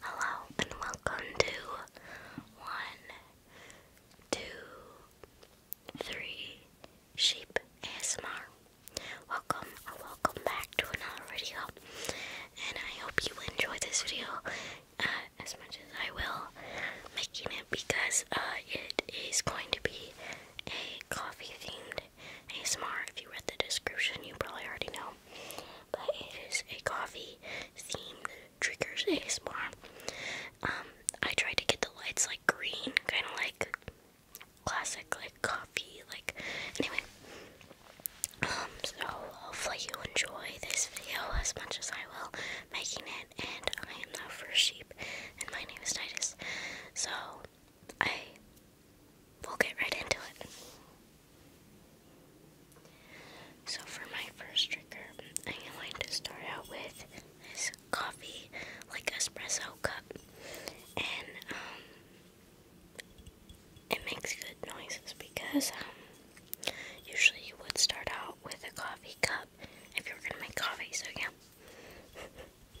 Hello and welcome to one, two, three sheep ASMR. Welcome or welcome back to another video, and I hope you enjoy this video uh, as much as I will making it because uh, it is going to be a coffee themed ASMR. If you read the description, you probably already know. But it is a coffee themed triggers ASMR. Um, I tried to get the lights like green, kind of like classic, like coffee, like anyway. Um, so hopefully you enjoy this video as much as I will making it. And I am the first sheep, and my name is Titus. So I will get right into it. So, for my first trigger, I am going to start out with this coffee, like espresso cup, and um, it makes good noises because um, usually you would start out with a coffee cup if you were gonna make coffee. So yeah.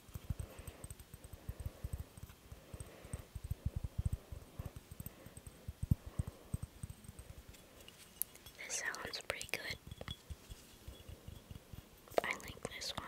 This sounds pretty good. I like this one.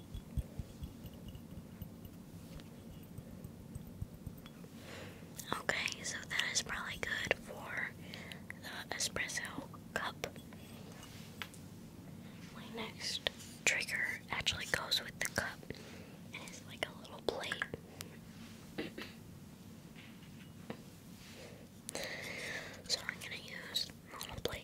Okay, so that is probably good for the espresso cup. My next trigger actually goes with the cup it's like a little plate. so I'm gonna use a little plate.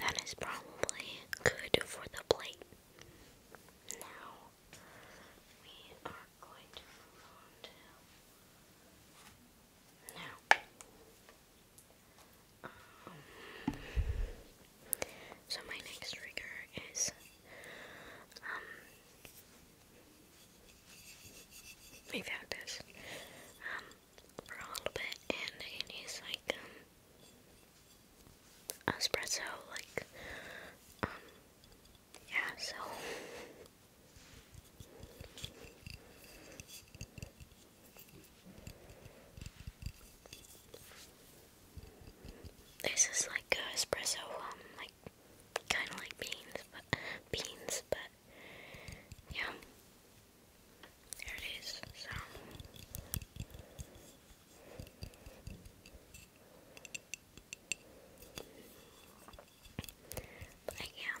That is probably good for the plate. Now, we are so my next trigger is um we've um for a little bit and it is like um espresso like um yeah, so this is like espresso, um, like kind of like beans, but beans, but yeah, there it is. So. But I am.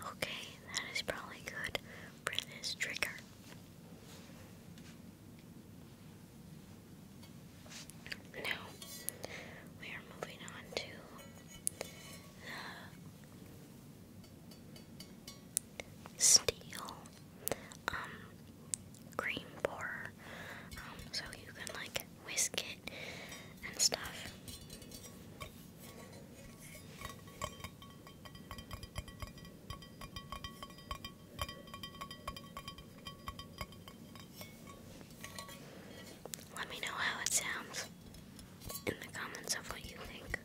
Okay, that is probably good for this trigger. Now we are moving on to the steel um cream pourer um so you can like whisk it and stuff. Let me know how it sounds in the comments of what you think.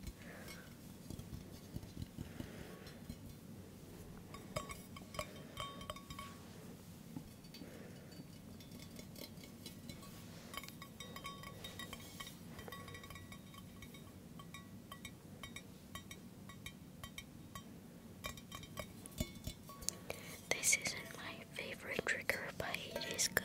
This isn't my favorite trigger, but it is good.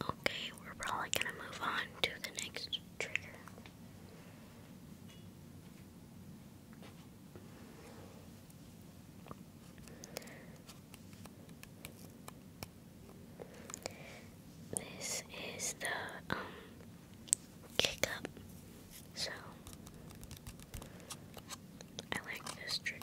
Okay, we're probably going to move on to the next trigger. This is the um kick So I like this trigger.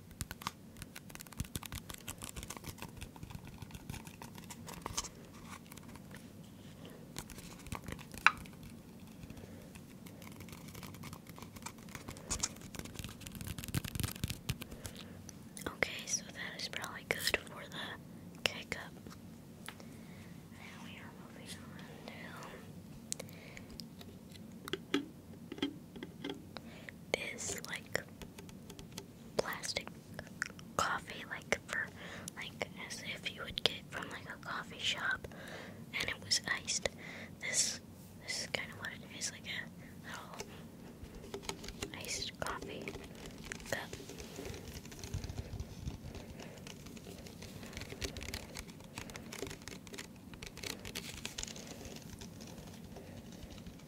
Okay, so that is probably good for the K cup. Now we are moving on to this like plastic coffee like for like as if you would get from like a coffee shop and it was iced. This this is kinda what it is, like a little iced coffee cup.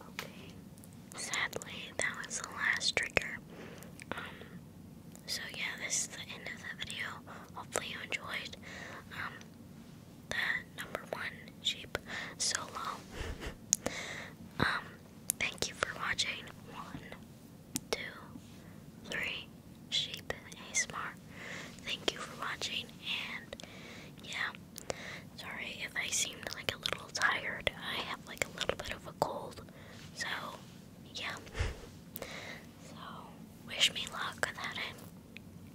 Okay. Sadly, that was the last trigger. Um, so yeah, this is the end of the video. Hopefully you enjoyed um, number one sheep solo. um, Thank you for watching. One, two, three. Sheep ASMR. Thank you for watching, and yeah. Sorry if I seemed like a little tired. I have like a little bit of a cold, so yeah. so wish me luck that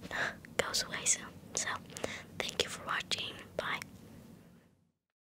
it goes away soon. So thank you for watching. Bye.